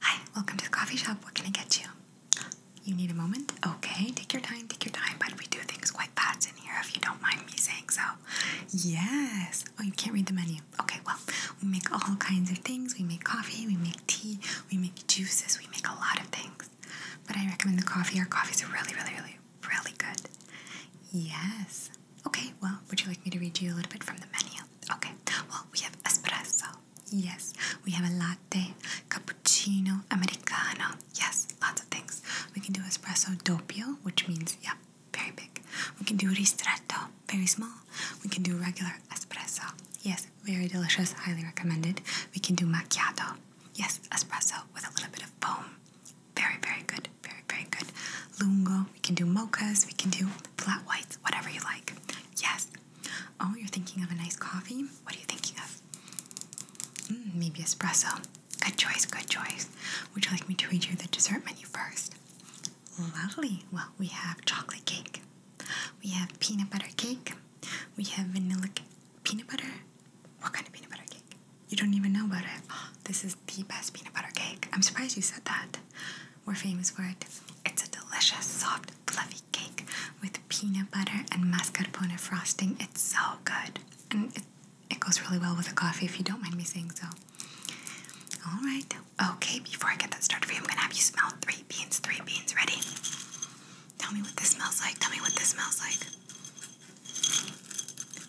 Hi, welcome to the coffee shop. What can I get you? You need a moment? Okay, take your time, take your time. But we do things quite fast in here if you don't mind me saying so. Yes. Oh, you can't read the menu. Okay, well, we make all kinds of things. We make coffee, we make tea, we make juices, we make a lot of things. But I recommend the coffee. Our coffees are really, really, really, really good. Yes. Okay, well, would you like me to read you a little bit from the menu? Okay, well, we have espresso, Yes, we have a latte, cappuccino, americano. Yes, lots of things. We can do espresso doppio, which means, yeah, very big. We can do ristretto, very small. We can do regular espresso. Yes, very delicious, highly recommended. We can do macchiato. Yes, espresso with a little bit of foam. Very, very good, very, very good. Lungo, we can do mochas, we can do flat whites, whatever you like. Yes, Oh, you're thinking of a nice coffee? What are you thinking of? Hmm, maybe espresso. Good choice, good choice. Would you like me to read you the dessert menu first? Lovely. Well, we have chocolate cake, we have peanut butter cake, we have vanilla peanut butter. What kind of peanut butter cake? You don't even know about it. this is the best peanut butter cake. I'm surprised you said that. We're famous for it. It's a delicious, soft, fluffy cake with peanut butter and mascarpone frosting. It's so good. And it, it goes really well with a coffee if you don't mind me saying so. Alright. Okay, before I get that started for you, I'm gonna have you smell three beans. Three beans, ready? Tell me what this smells like. Tell me what this smells like.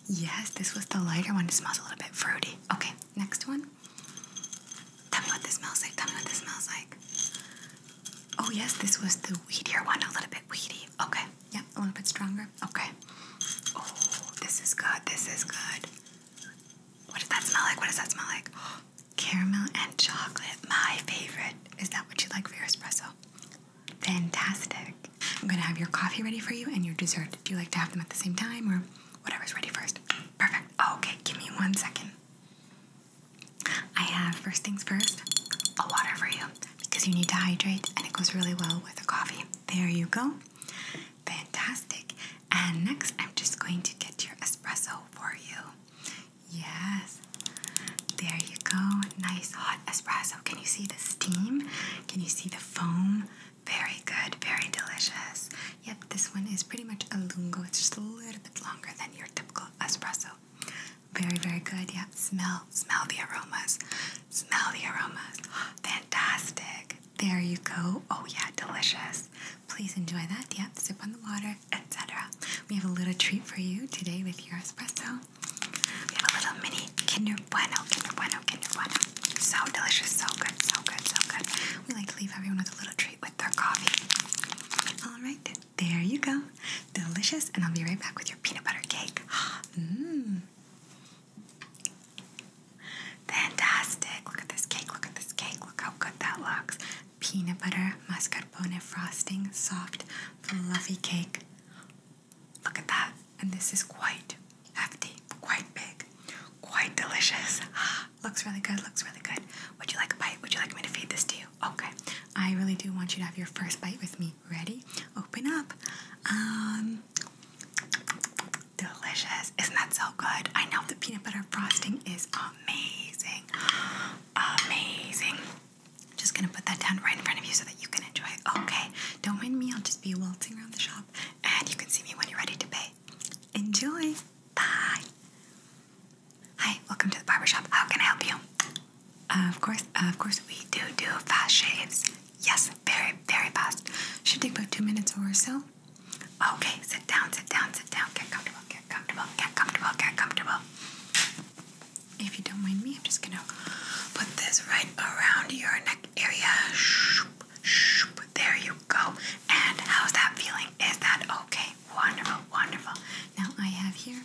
Yes, this was the lighter one. It smells a little bit fruity. Okay, next one. Tell me what this smells like. Tell me what this smells like. Oh, yes, this was the weedier one. A little bit weedy. Okay. Yep. a little bit stronger. Okay. Oh, this is good. This is good. What does that smell like? What does that smell like? caramel and chocolate. My favorite. Is that what you like for your espresso? Fantastic. I'm going to have your coffee ready for you and your dessert. Do you like to have them at the same time or whatever's ready first? Perfect. Okay, give me one second. I have first things first, a water for you because you need to hydrate and it goes really well with a coffee. There you go. Fantastic. And next, I'm just going to get your espresso for you. Yes. There you go. Nice hot espresso. Can you see the steam? Can you see the foam? Very good. Very delicious. Yep, this one is pretty much a lungo. It's just a little bit longer than your typical espresso. Very, very good. Yeah, smell, smell the aromas. Smell the aromas. Fantastic. There you go. Oh yeah, delicious. Please enjoy that. Yep, sip on the water, etc. We have a little treat for you today with your espresso. We have a little mini Kinder Bueno, Kinder Bueno, Kinder Bueno. So delicious, so good, so good, so good. We like to leave everyone with a little treat with their coffee. All right, there you go. Delicious, and I'll be right back with your peanut butter cake. Mmm. Fantastic. Look at this cake, look at this cake, look how good that looks. Peanut butter, mascarpone frosting, soft, fluffy cake. Look at that. And this is quite hefty, quite big, quite delicious. Ah. Looks really good, looks really good. Would you like a bite? Would you like me to feed this to you? Okay. I really do want you to have your first bite with me. Ready? Open up. Um delicious. Isn't that so good? I know the peanut butter frosting is amazing. Amazing. I'm just gonna put that down right in front of you so that you can enjoy it. Okay. Don't mind me, I'll just be waltzing around the shop and you can see me when you're ready to pay. Enjoy. Bye. Hi, welcome to the barbershop. How can I help you? Uh, of course, uh, of course, we do do fast shaves. Yes, very, very fast. Should take about two minutes or so. Okay, sit down, sit down, sit down. Get comfortable, get comfortable, get comfortable, get comfortable. If you don't mind me, I'm just gonna put this right around your neck area. Shoop, shoop. There you go. And how's that feeling? Is that okay? wonderful, wonderful. Now I have here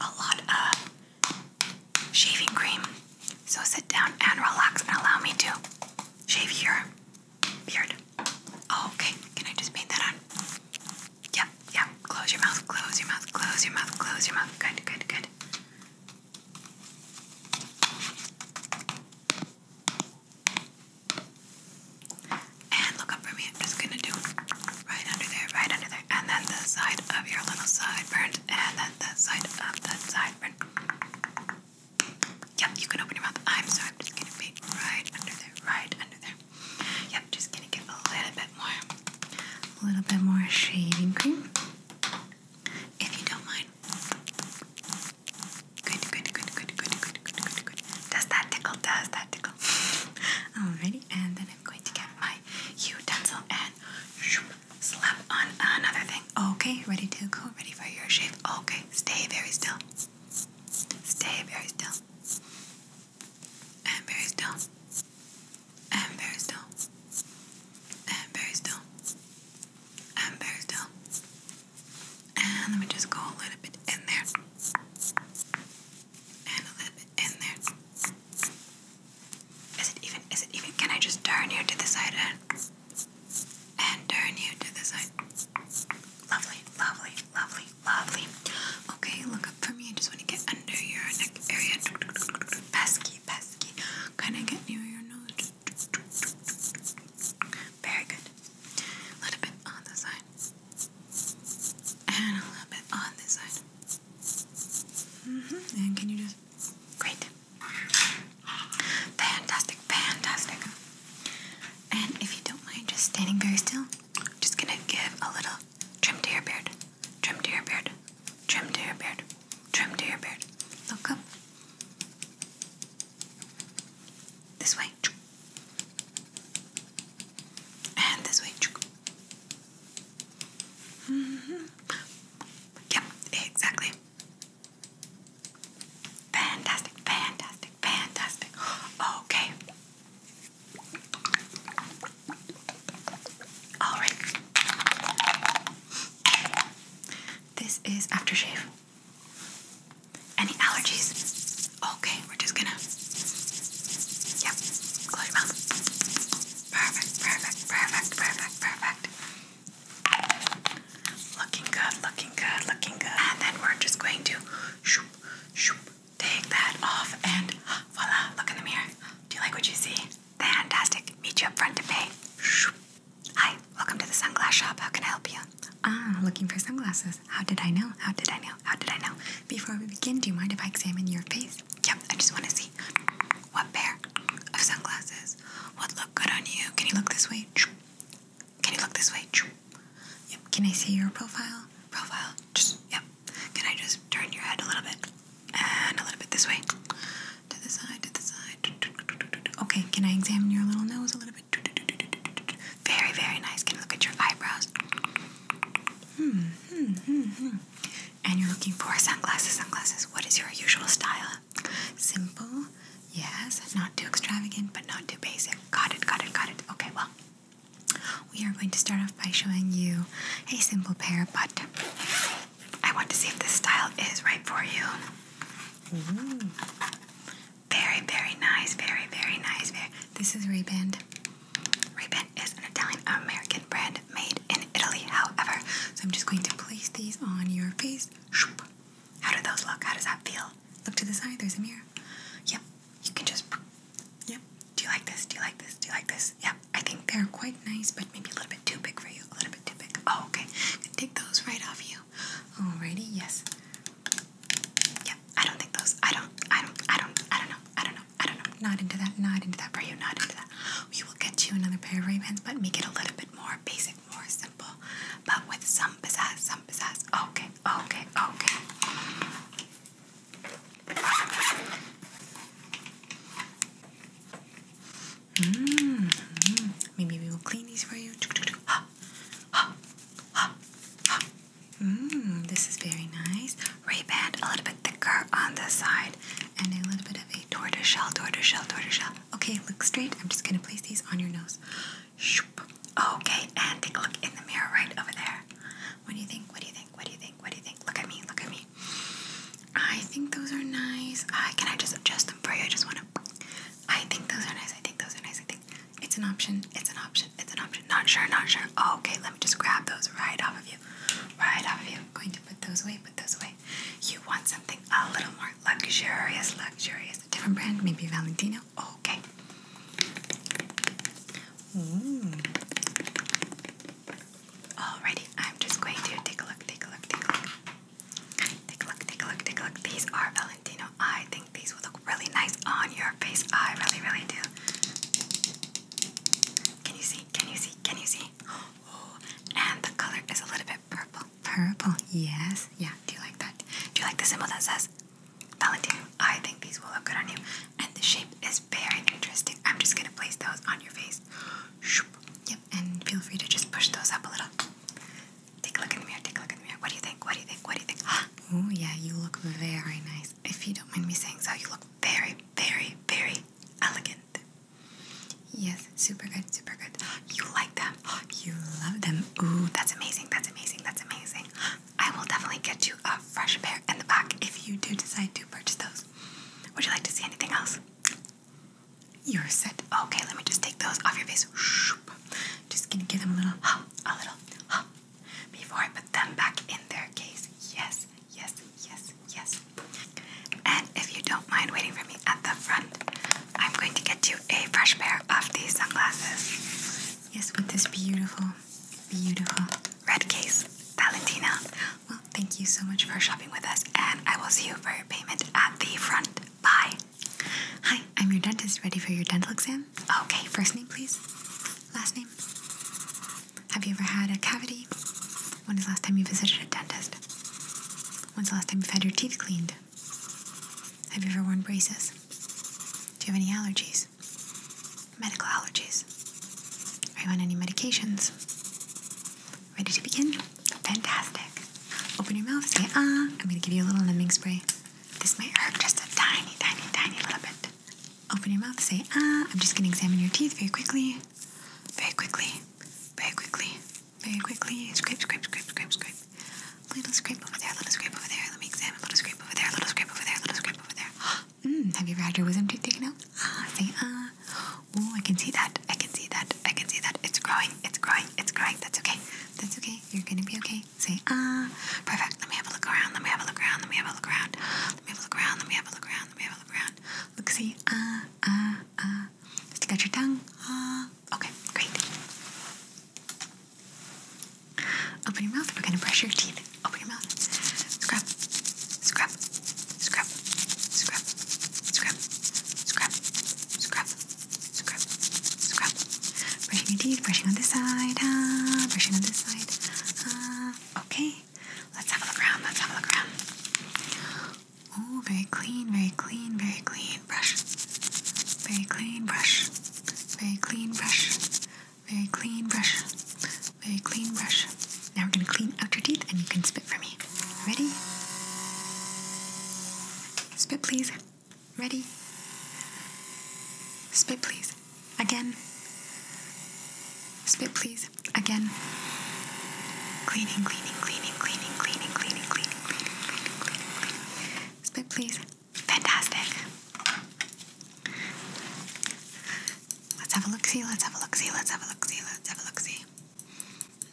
a lot of shaving cream. So sit down and relax and allow me to shave your beard. Oh, okay, can I just paint that on? Yep, yep. Close your mouth, close your mouth, close your mouth, close your mouth. Good, good, good. And look up for me. I'm just gonna do right under there, right under there, and then the side of your little sideburn, and then that side of that sideburn. Yep, you can open your mouth. I'm sorry, I'm just gonna be right under there, right under there. Yep, just gonna get a little bit more, a little bit more shaving cream, if you don't mind. Good, good, good, good, good, good, good, good, good. Does that tickle? Does that tickle? Alrighty, and then I'm going to get my utensil and slap on another thing. Okay, ready to go, ready for your shave. Okay, stay very still. Stay very still. And very still. And very still. And very still. And very still. And let me just go a little bit in there. And a little bit in there. Is it even? Is it even? Can I just turn you to the side and, turn you to the side? Lovely, lovely, lovely, lovely. Okay, look up for me. I just want to get under your neck area. Pesky, pesky. Kind of get near your nose. Very good. A little bit on the side and a little bit on this side. -hmm. And can you just. Great. Fantastic, fantastic. And if you don't mind just standing very still, I'm just gonna give a little trim to your beard. Trim to your beard. Trim to your beard. Trim to your beard. Look this way. And this way. -hmm. Yep, exactly. Fantastic, fantastic, fantastic. Okay. All right. This is aftershave. Any allergies? Okay, we're just gonna. Yep, close your mouth. Perfect, perfect, perfect, perfect, perfect. Looking good, looking good, looking good. And then we're just going to shoop, shoop, take that off, and voila, look in the mirror. Do you like what you see? Fantastic. Meet you up front to pay. Shoop. Hi, welcome to the sunglass shop. How can I help you? Ah, looking for sunglasses. How did I know? How did I know? How did I know? Before we begin, do you mind if I examine your face? Yep, I just want to see what pair of sunglasses would look good on you. Can you look this way? Can you look this way? Yep. Can I see your profile? Profile. Just, yep. Can I just turn your head a little bit? And a little bit this way. To the side, to the side. Okay, can I examine your little nose a little bit? Very, very nice. Can you look at your eyebrows? Hmm, hmm, hmm, hmm. And you're looking for sunglasses, sunglasses. What is your usual style? Simple, yes. Not too extravagant, but not too basic. Got it, got it, got it. Okay, well, we are going to start off by showing you a simple pair, but I want to see if this style is right for you. Ooh. Mm-hmm. Very, very nice. Very, very nice. Very. This is Reband. Reband is an Italian-American brand made in Italy, however. So I'm just going to place these on your face. How do those look? How does that feel? Look to the side. There's a mirror. Yep. You can just... Yep. Do you like this? Do you like this? Do you like this? Yep. I think they're quite nice, but maybe a little bit too big for you. A little bit too big. Oh, okay. Take those right off you. Alrighty. Yes. Yeah, I don't think those. I don't. I don't. I don't. I don't know. I don't know. I don't know. Not into that. Not into that for you. Not into that. We will get you another pair of Ray-Bans, but make it a little bit more basic, more simple, but with some pizzazz, some pizzazz. Okay. Okay. Okay. -hmm. Maybe we will clean these for you. ha, ha, ha. Mm, this is very nice. ray band, a little bit thicker on the side, and a little bit of a tortoiseshell, tortoiseshell, tortoiseshell. Okay, look straight. I'm just gonna place these on your nose. Shoop. Okay, and take a look in the mirror right over there. What do you think? What do you think? What do you think? What do you think? Look at me, look at me. I think those are nice. can I just adjust them for you? I just wanna. I think those are nice. I think those are nice. It's an option. It's an option. It's an option. Not sure. Not sure. Oh, okay, let me just grab those right off of you. Right off of you. I'm going to put those away. Put those away. You want something a little more luxurious, luxurious. A different brand, maybe Valentino. Okay. Mm. Alrighty, I'm just going to take a look. Take a look. Take a look. Take a look. Take a look. Take a look. These are Valentino. I these would look really nice on your face. I really, really do. Can you see? Can you see? Can you see? Oh, and the color is a little bit purple. Purple, yes. Yeah, do you like that? Do you like the symbol that says Valentine? I think these will look good on you. And the shape is very interesting. I'm just gonna place those on your face. Yep, and feel free to just push those up a little. Take a look in the mirror, take a look in the mirror. What do you think? What do you think? What do you think? Ah, Oh, yeah, you look very nice. If you don't mind me saying so, you look very, very, very elegant. Yes, super good, super good. You like them. You love them. Oh, that's amazing, that's amazing, that's amazing. I will definitely get you a fresh pair in the back if you do decide to purchase those. Would you like to see anything else? You're set. Okay, let me just take those off your face. Just gonna give them a little, a little, before I put them back in their case. Yes, yes, yes, yes. And if you don't mind waiting for me at the front, I'm going to get you a fresh pair of these sunglasses. Yes, with this beautiful, beautiful red case, Valentina. Well, thank you so much for shopping with us, and I will see you for your payment at the front. Bye. Hi, I'm your dentist. Ready for your dental exam? Okay, first name, please. Last name. Have you ever had a cavity? When is the last time you visited a dentist? When's the last time you've had your teeth cleaned? Have you ever worn braces? Do you have any allergies? Medical allergies? Are you on any medications? Ready to begin? Fantastic. Open your mouth, say ah. I'm going to give you a little numbing spray. This may hurt just a tiny, tiny, tiny little bit. Open your mouth, say, ah, I'm just gonna examine your teeth very quickly. Very quickly. Very quickly. Very quickly. Scrape, scrape, scrape, scrape, scrape. Little scrape over there, little scrape over there. Let me examine. Little scrape over there, little scrape over there, little scrape over there. Mmm, have you ever had your wisdom tooth taken out? Ah, say, ah. Oh, I can see that. I can see that. I can see that. It's growing. It's growing. It's growing. That's okay. That's okay. You're gonna be okay. Okay, say ah. Uh. Perfect. Let me have a look around. Let me have a look around. Let me have a look around. Let me have a look around. Let me have a look around. Let me have a look around. Look, see ah uh, ah uh, ah. Uh. Stick out your tongue. Ah. Uh. Okay, great. Open your mouth. We're gonna brush your teeth. Open your mouth. Scrub, scrub, scrub, scrub, scrub, scrub, scrub, scrub, scrub, Brushing your teeth, brushing on this side, ah, brushing on this side. Ah, okay, let's have a look around. Let's have a look around. Oh, very clean, very clean, very clean brush. Very clean brush. Very clean brush. Very clean brush. Very clean brush. Now we're gonna clean out your teeth and you can spit for me. Ready? Spit, please. Ready? Spit, please. Again. Spit, please. Again. Cleaning, cleaning, cleaning, cleaning, cleaning, cleaning, cleaning, cleaning, Spit, please. Fantastic. Let's have a look see. Let's have a look see. Let's have a look see. Let's have a look see.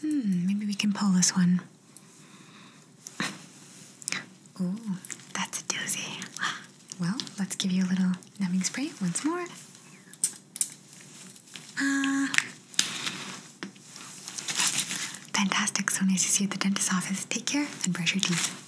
Hmm, maybe we can pull this one. Ooh, that's a doozy. Well, let's give you a little numbing spray once more. Uh, fantastic. So nice to see you at the dentist office. Take care and brush your teeth.